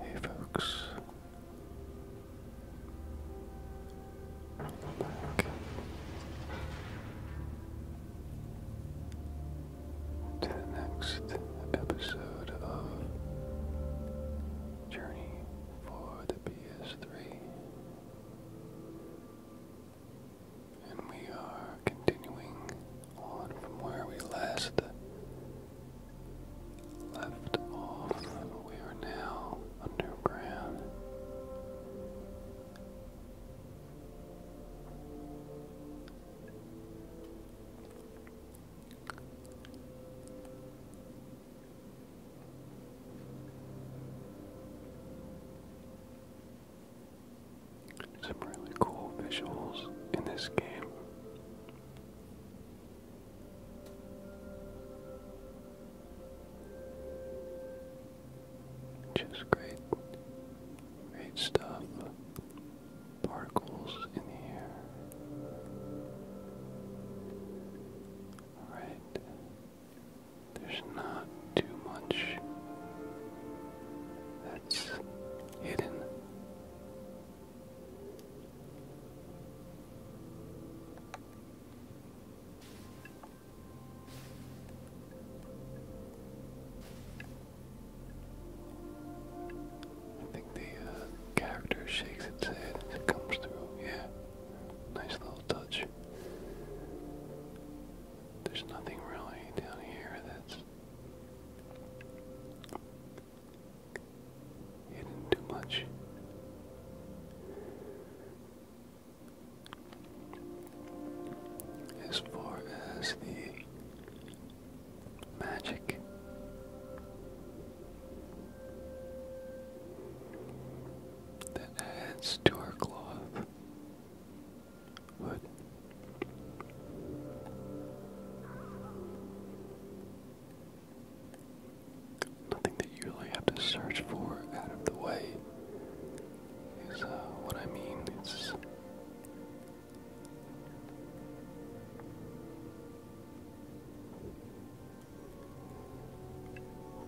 Hey folks, to the next episode of Journey for the PS3. And we are continuing on from where we last left off. We are now underground. Some really cool visuals in this game. Just great, great stuff. Particles in the air. Alright, there's not too much that's hidden. I think the uh, character shakes its head it comes through. Yeah, nice little touch. There's nothing really down here that's hidden too much. As far as the magic, that adds to our cloth wood. Nothing that you really have to search for out of the way is uh, what I mean. It's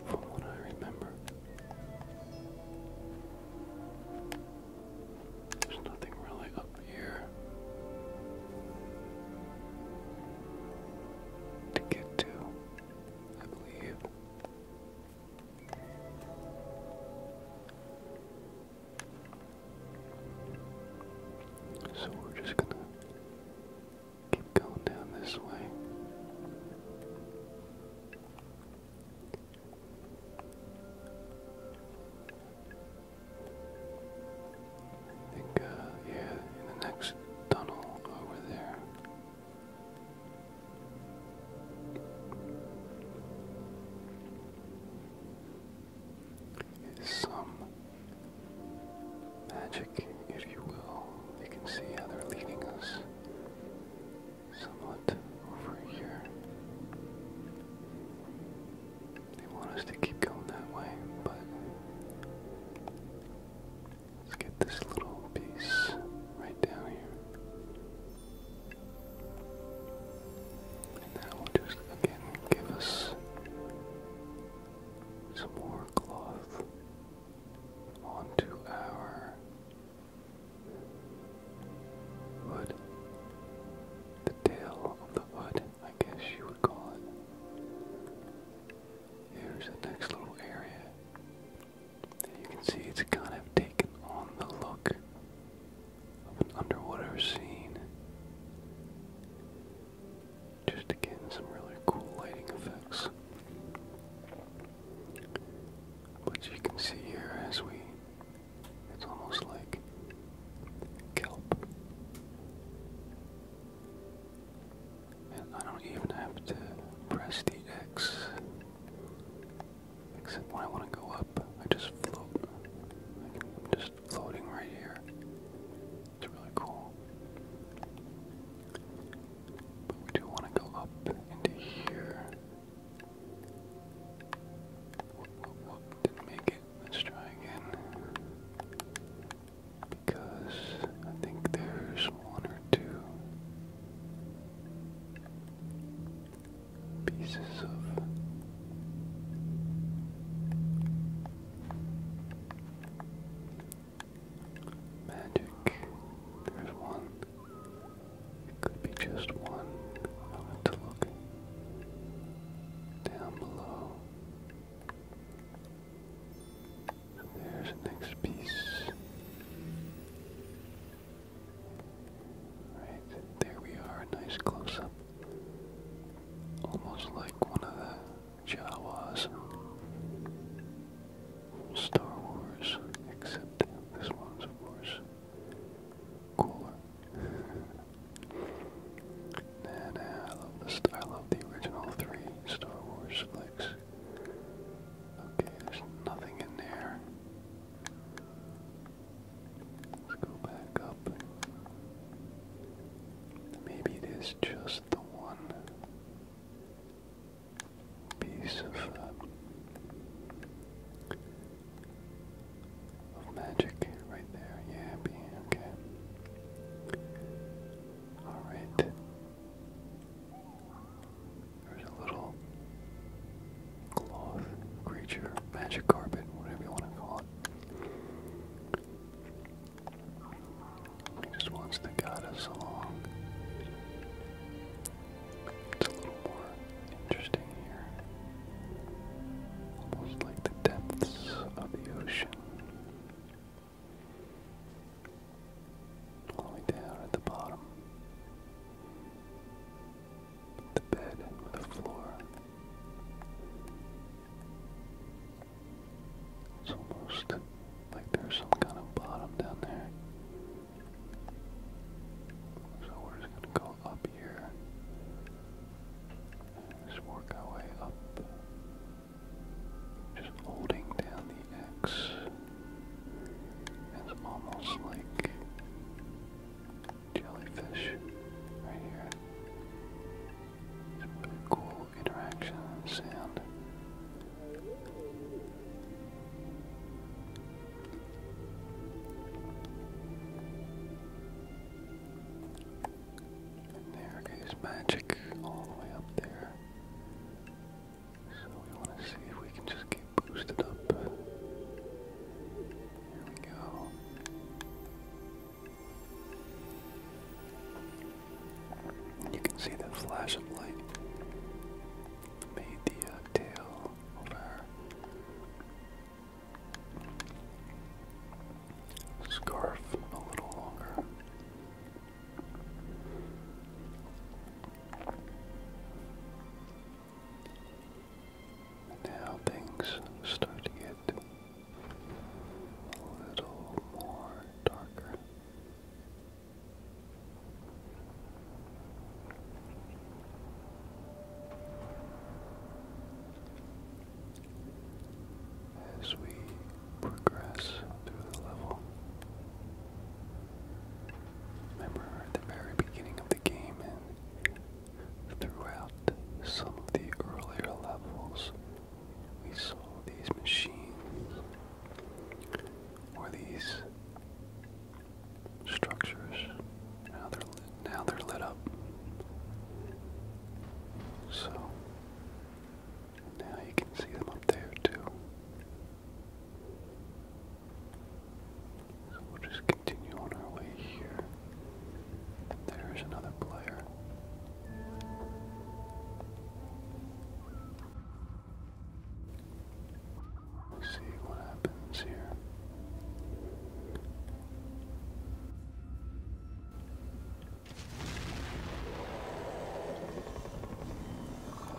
from what I remember. There's nothing really up here to get to, I believe. So we're just gonna keep going down this way. I think, uh, yeah, in the next tunnel over there. Is some magic, if you will. You can see how they're leading us somewhat over here. They want us to keep going that way, but let's get this little piece right down here. And that will just again give us some more cloth onto our Hood. The tail of the hood, I guess you would call it. Here's the next little area. you can see it's kind of taken on the look of an underwater scene. Just again, some really cool lighting effects. But you can see here as we, it's almost like kelp. And I don't even have to press the X, except when I want to go up, I just float. I am just floating right here. It's really cool we do want to go up into here. Didn't make it. Let's try again. Because I think there's one or two pieces of Magic. There's one. could be just one. I'll to look down below. There's the next piece. Right, there we are, nice close up. Almost like one of the Jawas. Star Wars, except this one's, of course, cooler. nah, nah, I love this. I love the original three Star Wars flicks. Okay, there's nothing in there. Let's go back up. Maybe it is just the one piece uh, of, magic right there. Yeah, okay. Alright. There's a little cloth creature, magic carpet, whatever you want to call it. He just wants to guide us along. It's a little more interesting here. Almost like the depths of the ocean. All down at the bottom. The bed with the floor. It's almost like there's some kind of bottom down there. So we're just gonna go up here. just work our way up. Just holding down the X. It's almost like jellyfish right here. It's really cool interaction and sound. And there goes magic all the way up there. So we want to see if we can just get boosted up. Here we go. You can see the flash of light made the uh, tail Scarf a little longer. Now things start to get a little more darker. As we progress through the level, remember the very beginning of the game and throughout some of the earlier levels, we saw these machines or these structures. Now they're lit, now they're lit up. So now you can see them up there too. So we'll just continue on our way here. There's another player see what happens here.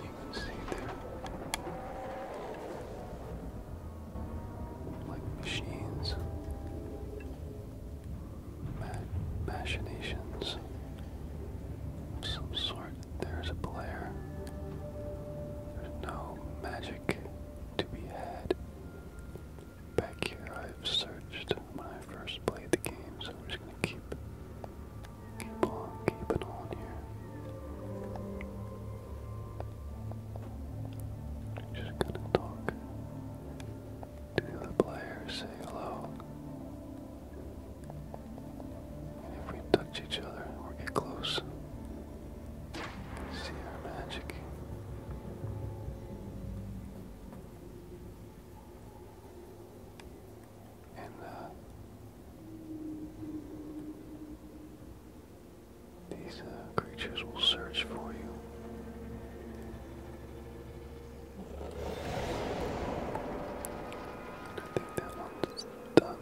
You can see there, like machines machinations of some sort. There's a player. There's no magic to be had. Back here I've searched when I first played the game, so I'm just gonna keep keep on keeping on here. Just gonna talk to the player, say hello. If we touch each other or get close, see our magic. And uh, these uh, creatures will search for you. I think that one's done.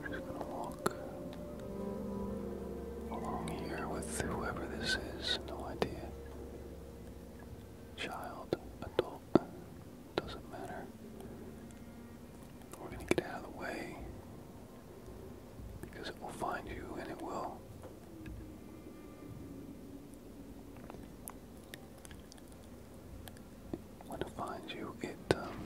we're just going to along here with whoever this is, no idea. Child, adult, doesn't matter. We're going to get out of the way because it will find you and it will. When it finds you, it um,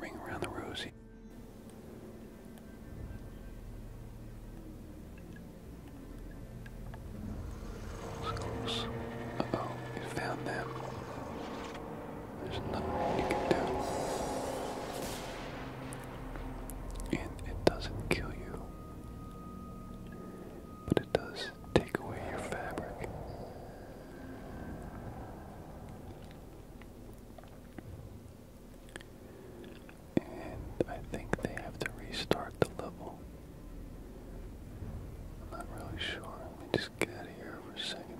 Ring around the rosy. Close. oh, it found them. There's nothing you can do. And it doesn't kill you. But it does take away your fabric. And I think they have to restart the level. I'm not really sure. Let me just get here for a 2nd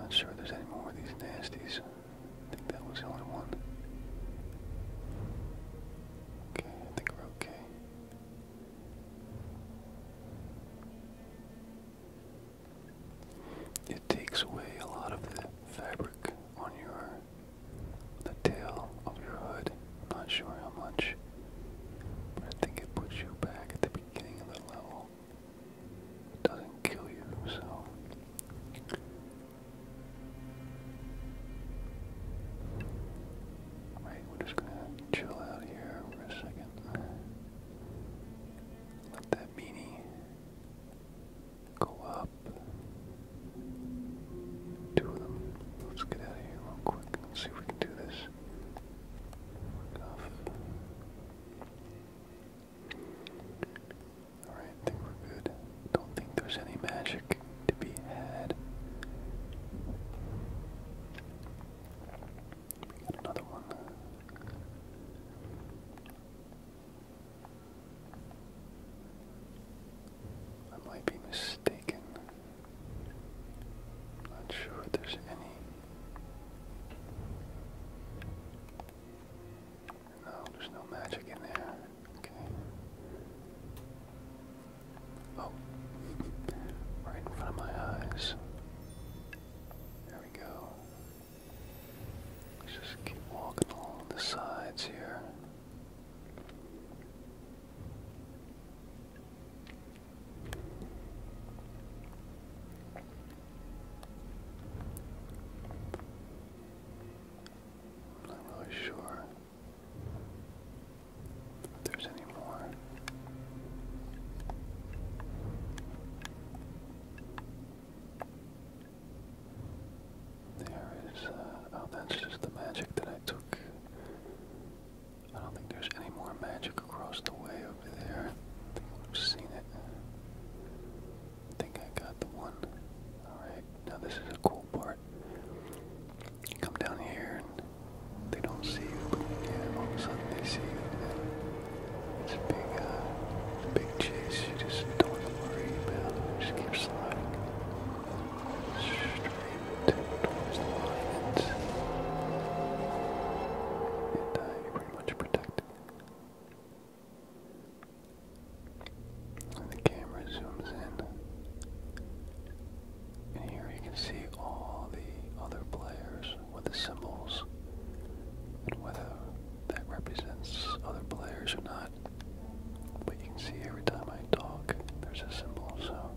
not sure there's any more of these nasties. I think that was the only one. Okay, I think we're okay. It takes away a lot of the fabric on your the tail of your hood. not sure how much, but I think it puts you back at the beginning of the level. It doesn't kill you, so Alright, we're just gonna chill out here for a second. Let that meanie go up. Two of them. Let's get out of here real quick. see if we can do this. Alright, I think we're good. Don't think there's any magic to be had. We got another one. I might be mistaken. not sure if there's any. No, there's no magic in there. Okay. Oh. right in front of my eyes. There we go. Let's just keep walking along the sides here. I'm not really sure there's any more. There is, uh, oh, that's just the magic that I took. I don't think there's any more magic across the way over there. I think I've seen it. think I got the one. Alright, now this is a cool part come down here and they don't see you, but all of a sudden they see you. it's a big, uh, big chase. You just don't worry about it. just keep sliding straight towards the lions. And uh, pretty much protected the camera zooms in. And here you can see all the other players with the symbols. And whether that represents other players or not. But you can see every time I talk, there's a symbol, so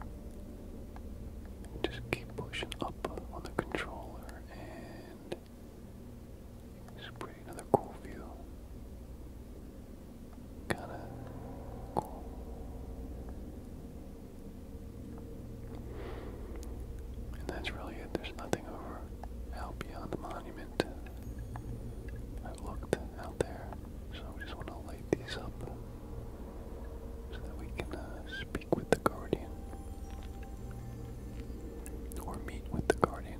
just keep pushing up on the controller and it's pretty another cool view. Gotta go. And that's really it. There's nothing over out beyond the monument. I've looked out there, so we just want to light these up so that we can uh, speak with the guardian or meet with the guardian.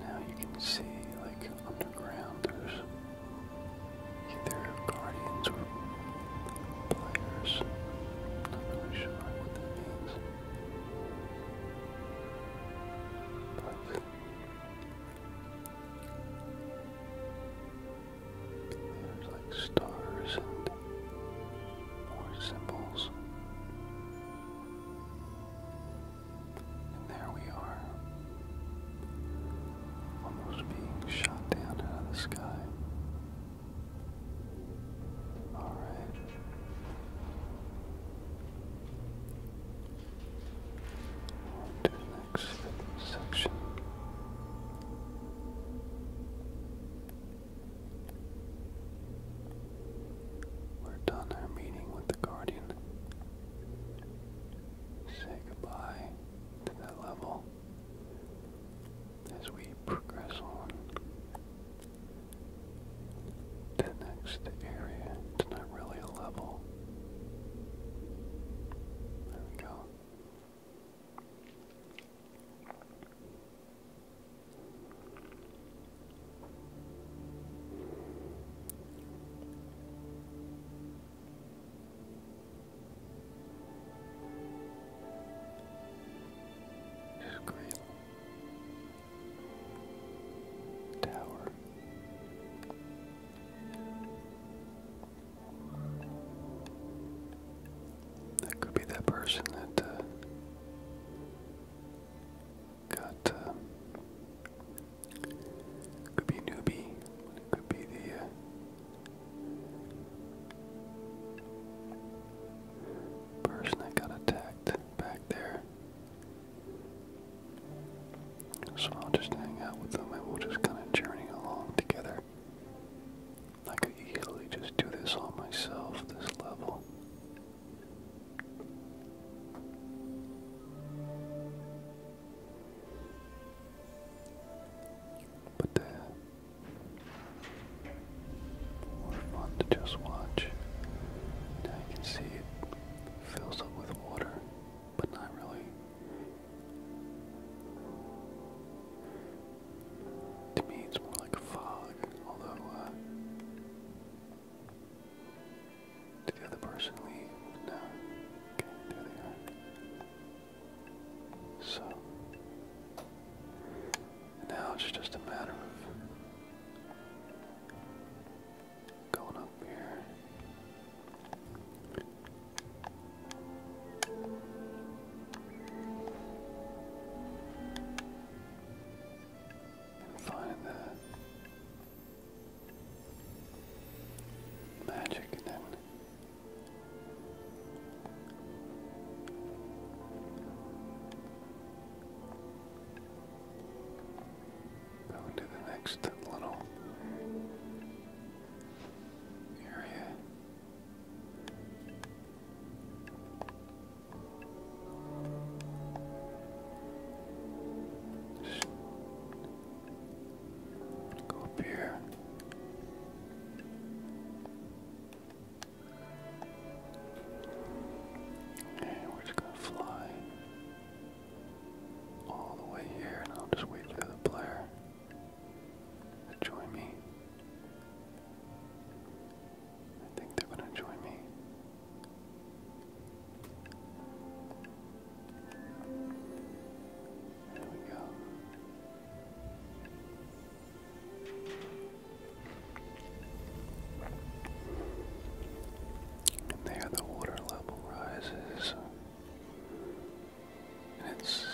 Now you can see, like underground, there's either guardians or players. Not really sure what that means stars and more symbols. And there we are, almost being shot down out of the sky. Alright. On the next section. We're done our meeting with the Guardian. Say goodbye to that level as we progress on the next area. It's not really a level. There we go. Great Tower. That could be that person that uh, got. Uh, could be newbie. could be the. Uh, person that got attacked back there. So I'll just hang out with them and we'll just kind of journey along together. I could easily just do this all myself, this level. But they're uh, more to just watch. Now you can see it fills up with water, but not really. To me, it's more like fog, although, uh, the other person leave? No. there they are. So, now it's just a matter of going up here. Find the magic and then going to the next little area. Just go up here. Okay, we're just gonna fly all the way here, and I'll just wait for the player enjoy me. I think they're gonna enjoy me. There we go. there the water level rises. And it's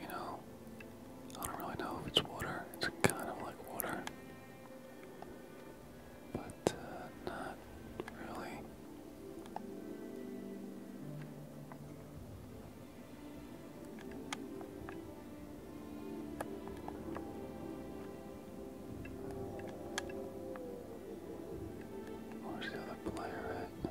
you know, I don't really know if it's water. It's kind of like water, but uh, not really. Where's the other player at?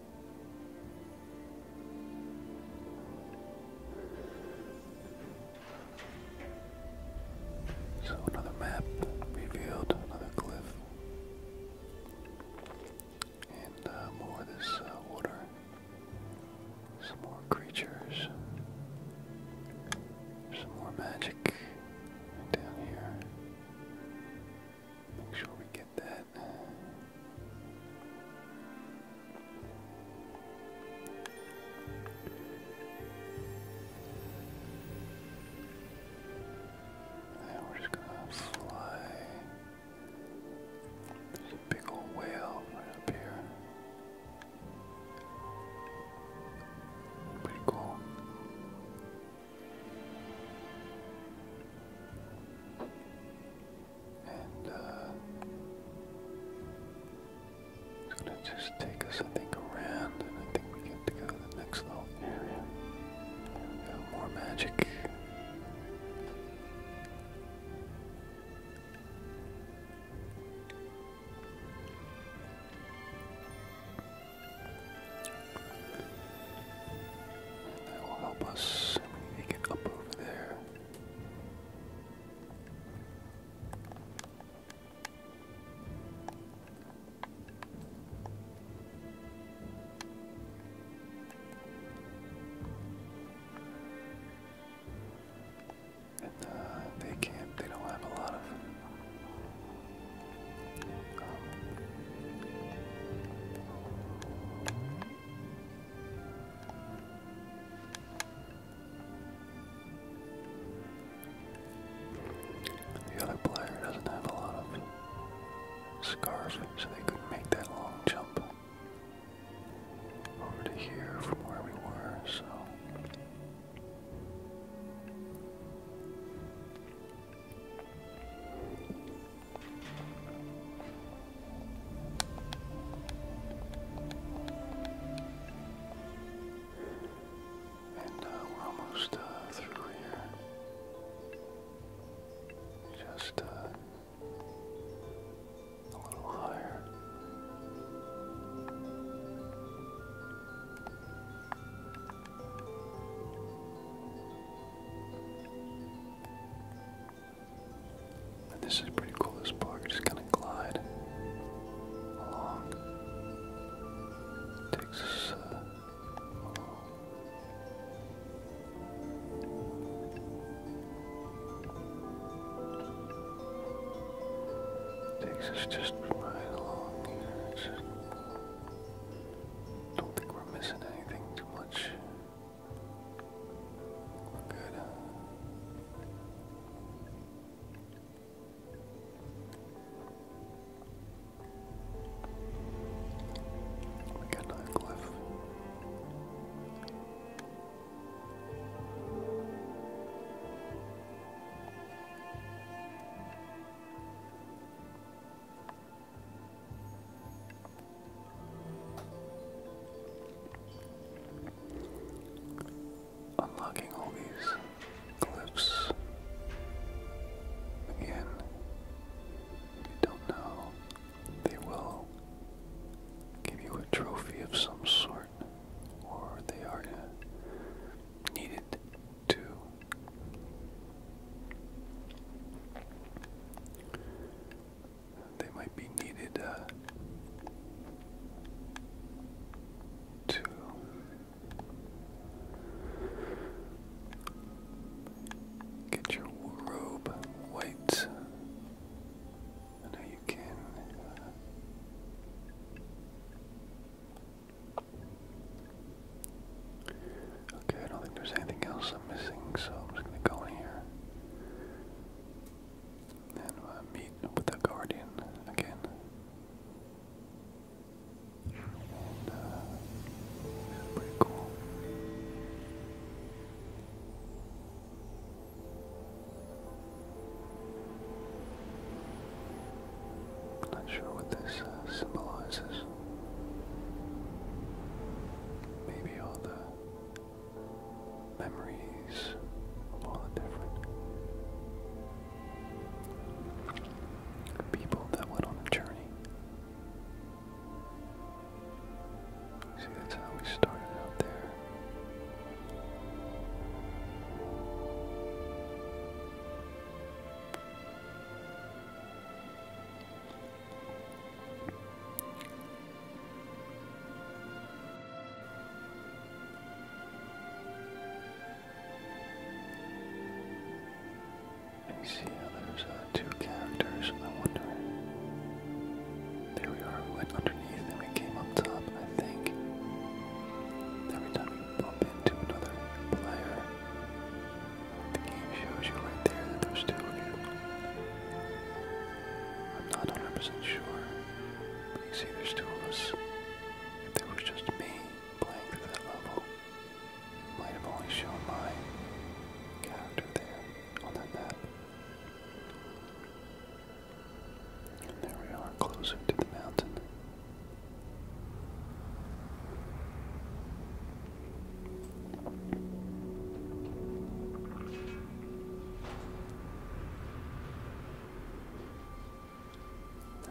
So another map revealed, another cliff, and uh, more of this uh, water, some more creatures, some more magic down here. Make sure we get that. And we're just gonna fly. There's a big old whale right up here. Pretty cool. And uh, it's going to just take us, I think, around, and I think we get to go to the next little area. more magic. That will help us. We need up over there. And uh, they can't, they don't have a lot of um, the other player doesn't have a lot of scarf, so they couldn't make that long jump over to here from where we were, so. And uh, we're almost uh, through here. Just uh, a little higher this is pretty cool, this park, just kind of glide along. It takes us, uh, Takes us just right along here. Just don't think we're missing anything too much. We're good. We got another cliff. Unlocking all these clips again. you don't know, they will give you a trophy of some sort, or they are needed to they might be needed uh, to get your robe white. I know you can. Uh, Okay, I don't think there's anything else I'm missing, so I'm just gonna go in here. And uh, meet with the Guardian again. Uh, pretty cool. not sure what this uh, symbolizes. Maybe all the memories, all the different people that went on a journey. See, that's how we started out there. You see there's uh, two characters, I wonder. There we are, we went underneath and we came up top, I think. Every time we bump into another player, the game shows you right there that there's two of you. I'm not 100% sure. But you see, there's two of us. If there was just me playing that level, it might have only shown my character there on that map. And there we are, closer to the mountain.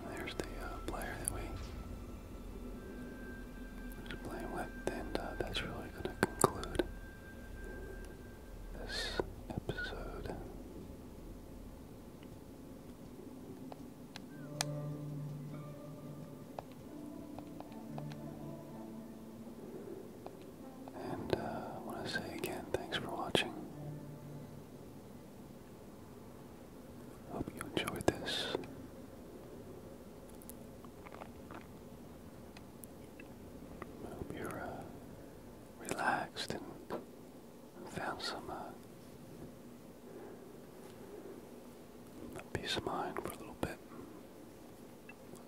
There's the uh, player that we are playing with, and uh, that's really going to conclude this episode. And uh, want to say again, thanks for watching. Hope you enjoyed this. hope you're uh, relaxed and found some uh, peace of mind for a little bit.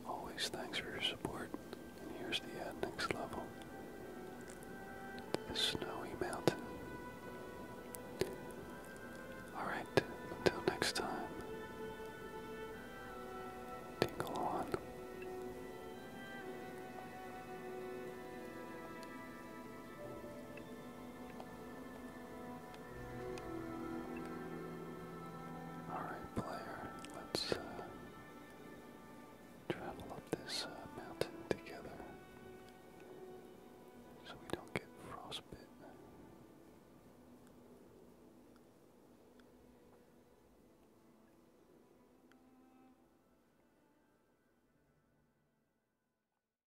Always thanks for your support. And here's the next level. snowy mountain. Alright, until next time. Tingle on. All right, player, let's uh, travel up this uh, mountain together so we don't get frostbitten.